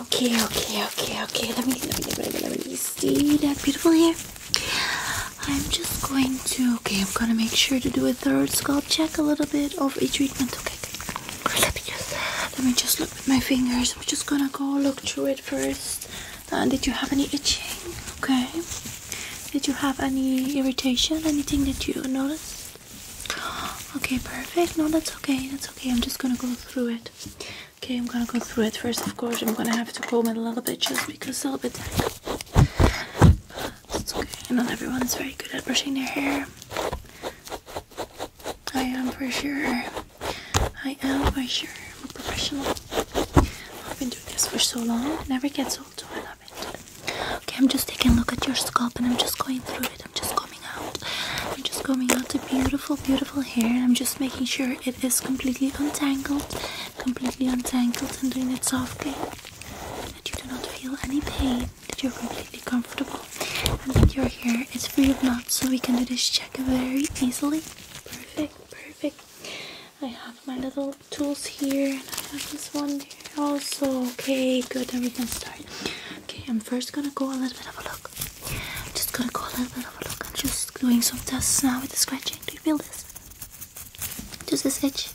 Okay, okay, okay, okay. Let me, let me, let me, let me see that beautiful hair. I'm just going to, okay, I'm gonna make sure to do a third scalp check, a little bit of a treatment, okay? let me just, let me just look with my fingers. I'm just gonna go look through it first. Uh, did you have any itching? Okay. Did you have any irritation? Anything that you noticed? Okay, perfect. No, that's okay. That's okay I'm just gonna go through it okay I'm gonna go through it first of course I'm gonna have to comb it a little bit just because it's a little bit tight it's okay not everyone is very good at brushing their hair I am for sure I am for sure I'm a professional I've been doing this for so long it never gets old so I love it okay I'm just taking a look at your scalp and I'm just going through it I'm just I'm just combing out the beautiful, beautiful hair. I'm just making sure it is completely untangled, completely untangled, and doing it softly. That you do not feel any pain, that you're completely comfortable, and that your hair is free of knots. So we can do this check very easily. Perfect, perfect. I have my little tools here, and I have this one here also. Okay, good. Then we can start. Okay, I'm first gonna go a little bit of a look. I'm just gonna go a little bit of a look. I'm just doing some tests now with the scratching. Do you feel this? Just a stitch.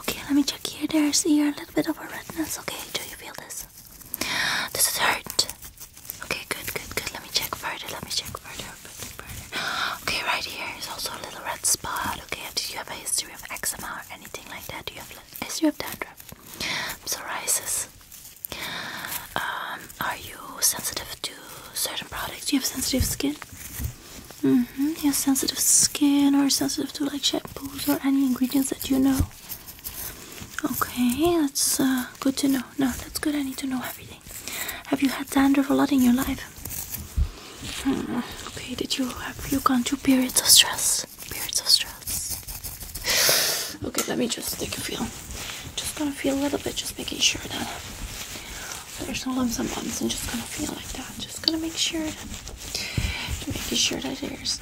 Okay, let me check here. There's here a little bit of a redness. Okay, do you feel this? This is hurt? Okay, good, good, good. Let me check further. Let me check further. Okay, right here is also a little red spot. Okay, do you have a history of eczema or anything like that? Do you have a history of dandruff? Psoriasis? Um, are you sensitive to certain products? Do you have sensitive skin? Mm hmm. You have sensitive skin or sensitive to like shampoos or any ingredients that you know? Okay, that's uh, good to know. No, that's good. I need to know everything. Have you had dandruff a lot in your life? Hmm, okay, did you have you gone through periods of stress? Okay, let me just take a feel. Just gonna feel a little bit, just making sure that there's no lumps and bumps, and just gonna feel like that. Just gonna make sure that, making sure that there's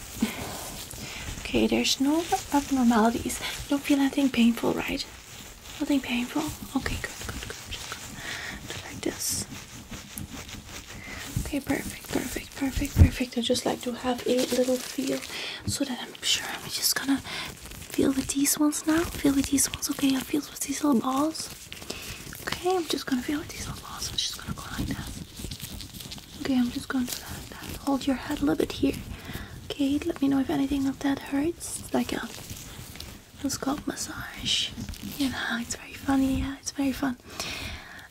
okay. There's no abnormalities. don't feel anything painful, right? Nothing painful. Okay, good, good, good. Just gonna like this. Okay, perfect, perfect perfect, perfect, I just like to have a little feel so that I'm sure I'm just gonna feel with these ones now. Feel with these ones, okay? I feel with these little balls. Okay, I'm just gonna feel with these little balls. I'm just gonna go like that. Okay, I'm just gonna that, Hold your head a little bit here. Okay, let me know if anything of that hurts. It's like a, a scalp massage. You know, it's very funny. Yeah, it's very fun.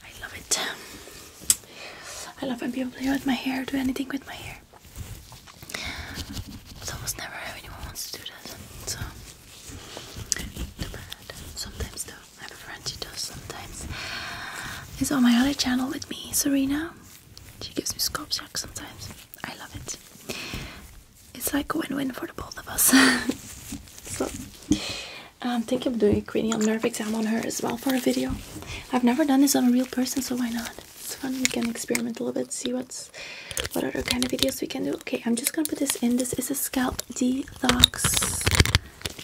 I love it. I love when people play with my hair, do anything with my hair. It's almost never anyone wants to do that, so Sometimes though, I have a friend who does sometimes. Is on my other channel with me, Serena. She gives me scope shock sometimes. I love it. It's like a win-win for the both of us. so I'm um, thinking of doing a cranial nerve exam on her as well for a video. I've never done this on a real person, so why not? It's fun. We can experiment a little bit, see what's what other kind of videos we can do. Okay, I'm just gonna put this in. This is a scalp detox.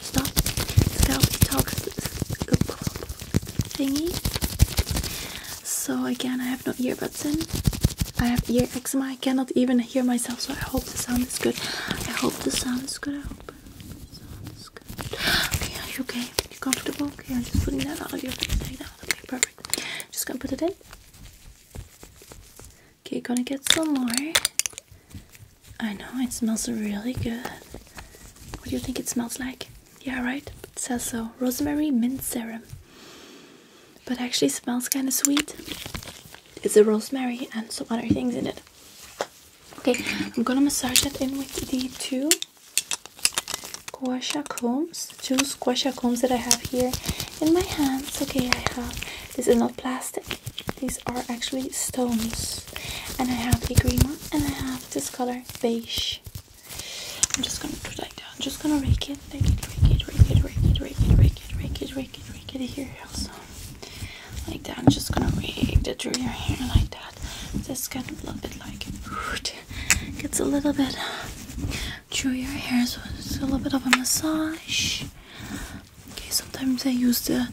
Stop. Scalp detox thingy. So again, I have no earbuds in. I have ear eczema. I cannot even hear myself, so I hope the sound is good. I hope the sound is good. Okay, are you okay? You comfortable? Okay, I'm just putting that out of your face right now. Okay, perfect. Just gonna put it in. Okay, gonna get some more. I know it smells really good. What do you think it smells like? Yeah, right? It says so. Rosemary mint serum. But actually smells kinda sweet. It's a rosemary and some other things in it. Okay, I'm gonna massage that in with the two Quasha combs, two Quasha combs that I have here in my hands. Okay, I have this is not plastic, these are actually stones. And I have a green one and I have this color beige. I'm just gonna put like that. I'm just gonna rake it, rake it, rake it, rake it, rake it, rake it, rake it, rake it, rake it, rake it here also. Like that. I'm just gonna rake it through your hair like that but just kind of a little bit like gets a little bit through your hair, so it's a little bit of a massage. Okay, sometimes I use the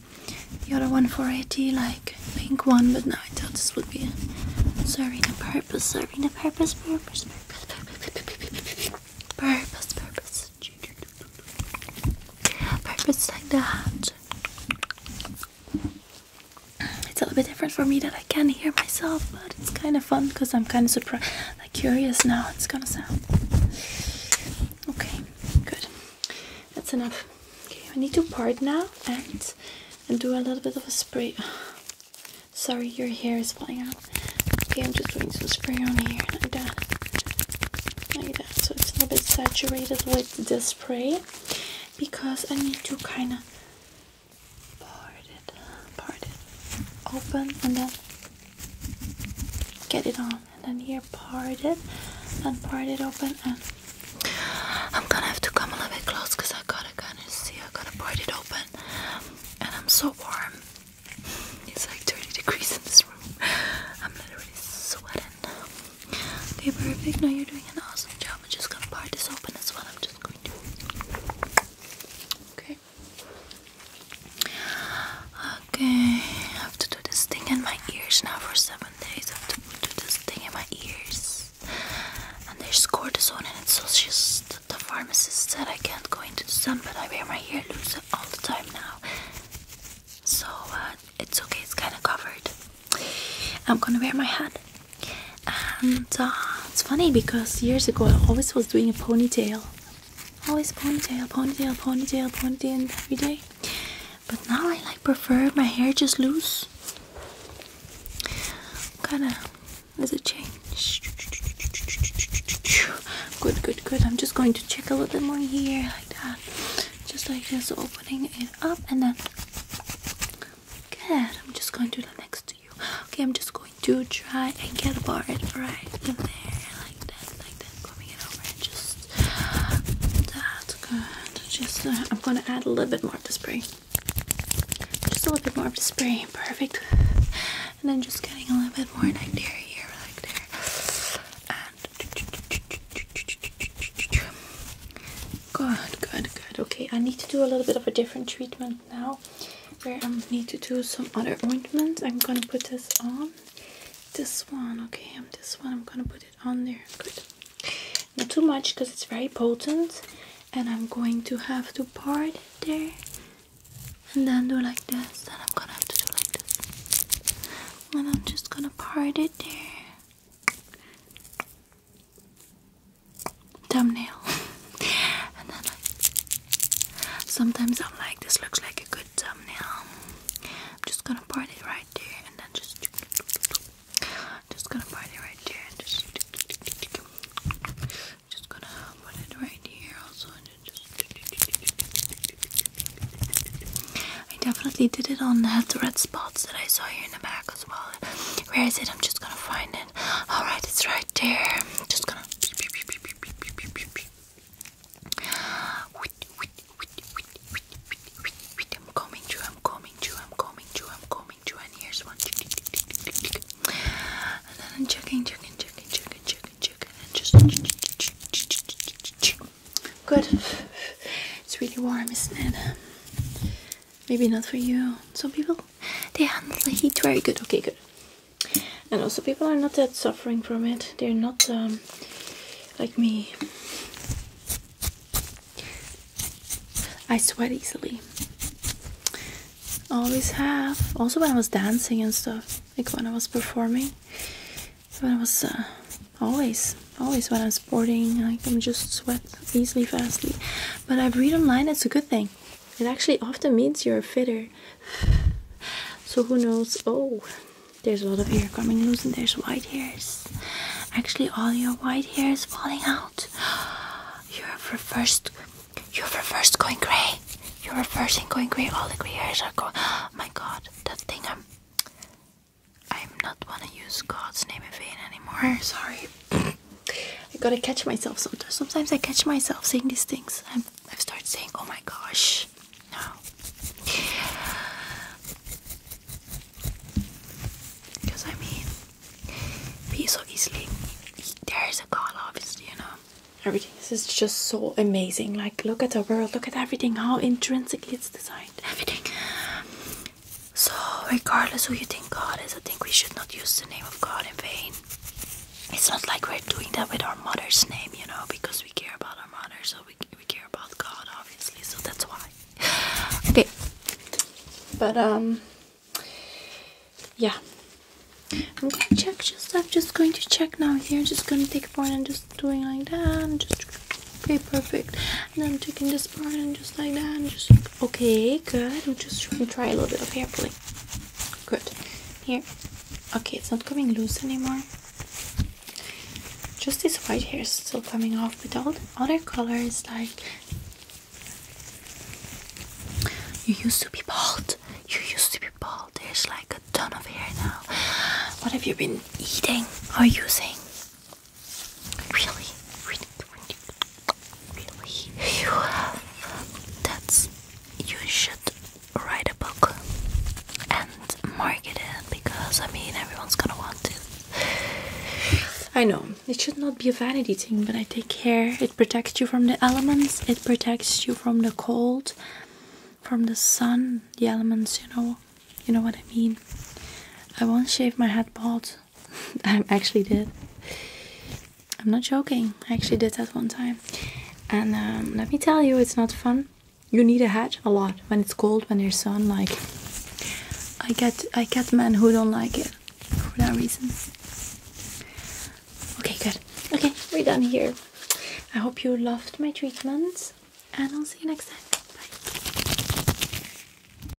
the other one for it, like pink one, but now I thought this would be serving a purpose, serving a purpose, purpose, purpose, purpose, purpose, purpose, purpose like that it's a little bit different for me that I can not hear myself, but it's kind of fun because I'm kind of surprised, like curious now. It's gonna sound okay. Good. That's enough. Okay, I need to part now and and do a little bit of a spray. Sorry, your hair is falling out. Okay, I'm just doing some spray on here like I'm done. So it's a little bit saturated with the spray because I need to kind of part it, part it open and then get it on and then here part it and part it open and I'm gonna have to come a little bit close because I gotta kind of see, I gotta part it open and I'm so warm. It's like 30 degrees in this room. I'm literally sweating. Okay, perfect. Now you're doing an awesome job. I'm just gonna part this open as well. I'm just going to. Okay. Okay. I have to do this thing in my ears now for seven days. I have to do this thing in my ears. And there's cortisone in it, so just the pharmacist said I can't go into the sun, but I wear my hair loose all the time now. So uh, it's okay, it's kind of covered. I'm gonna wear my hat. And uh, it's funny because years ago I always was doing a ponytail. Always ponytail, ponytail, ponytail, ponytail every day. But now I like prefer my hair just loose. Kinda does it change? Good, good, good. I'm just going to check a little bit more here like that. Just like this, opening it up and then Good. I'm just going to do that next to you. Okay, I'm just going to try and get a bar it right in there. Like that, like that. Coming it over just that's good. Just uh, I'm gonna add a little bit more of the spray. Just a little bit more of the spray. Perfect. And then just getting a little bit more in like there here, like there. Good, good, good. Okay, I need to do a little bit of a different treatment now where I need to do some other ointments. I'm gonna put this on. This one, okay, I'm um, this one, I'm gonna put it on there. Good. Not too much because it's very potent, and I'm going to have to part it there and then do like this. And I'm gonna have to do like this, and I'm just gonna part it there thumbnail and then I, sometimes I'm like this looks like a good thumbnail I'm just gonna part it right there and then just just gonna part it right there and just just gonna put it right here also and just I definitely did it on that red spots that I saw here in the back as well where is it? I'm just gonna find it. Alright, it's right there. I'm just gonna. I'm coming to, I'm coming to, I'm coming to, I'm coming to, and here's one. And then I'm checking, checking, checking, checking, checking, checking, and just. Good. It's really warm, isn't it? Um, maybe not for you. Some people, they handle heat very good. Okay, good. And also, people are not that suffering from it. They're not um, like me. I sweat easily. Always have. Also, when I was dancing and stuff, like when I was performing, when I was uh, always always when I'm sporting, I'm just sweat easily, fastly. But I read online, it's a good thing. It actually often means you're fitter. So who knows? Oh, there's a lot of hair coming loose and there's white hairs. Actually, all your white hairs falling out. You're reversed. You're reversed going gray. You're reversing going gray. All the gray hairs are going. Oh my god, that thing I'm not wanna use God's name in vain anymore. Sorry. I gotta catch myself sometimes. Sometimes I catch myself saying these things. i have started saying, oh my gosh. No. Because I mean, be so There is a God, obviously, you know. Everything this is just so amazing. Like, look at the world, look at everything, how intrinsically it's designed. Everything. So, regardless who you think God is, I think we should not use the name of God in vain. It's not like we're doing that with our mother's name, you know, because we care about our mother, so we, we care about God, obviously, so that's why. Okay. But, um, yeah. I'm going to check just, I'm just going to check now here. just going to take a point and just doing like that. And just, okay, perfect and I'm taking this part and just like that and just okay good we'll just try a little bit of hair pulling good here okay it's not coming loose anymore just this white hair is still coming off but all the other colors, like you used to be bald you used to be bald there's like a ton of hair now what have you been eating or using Really? Really? Really? You have. That's. You should write a book and market it because I mean everyone's gonna want it. I know. It should not be a vanity thing, but I take care. It protects you from the elements, it protects you from the cold, from the sun, the elements, you know. You know what I mean? I won't shave my head bald I actually did. I'm not joking. I actually did that one time. And um, let me tell you, it's not fun. You need a hat a lot when it's cold, when there's sun. Like, I get, I get men who don't like it for that reason. Okay, good. Okay, we're done here. I hope you loved my treatment, and I'll see you next time. Bye.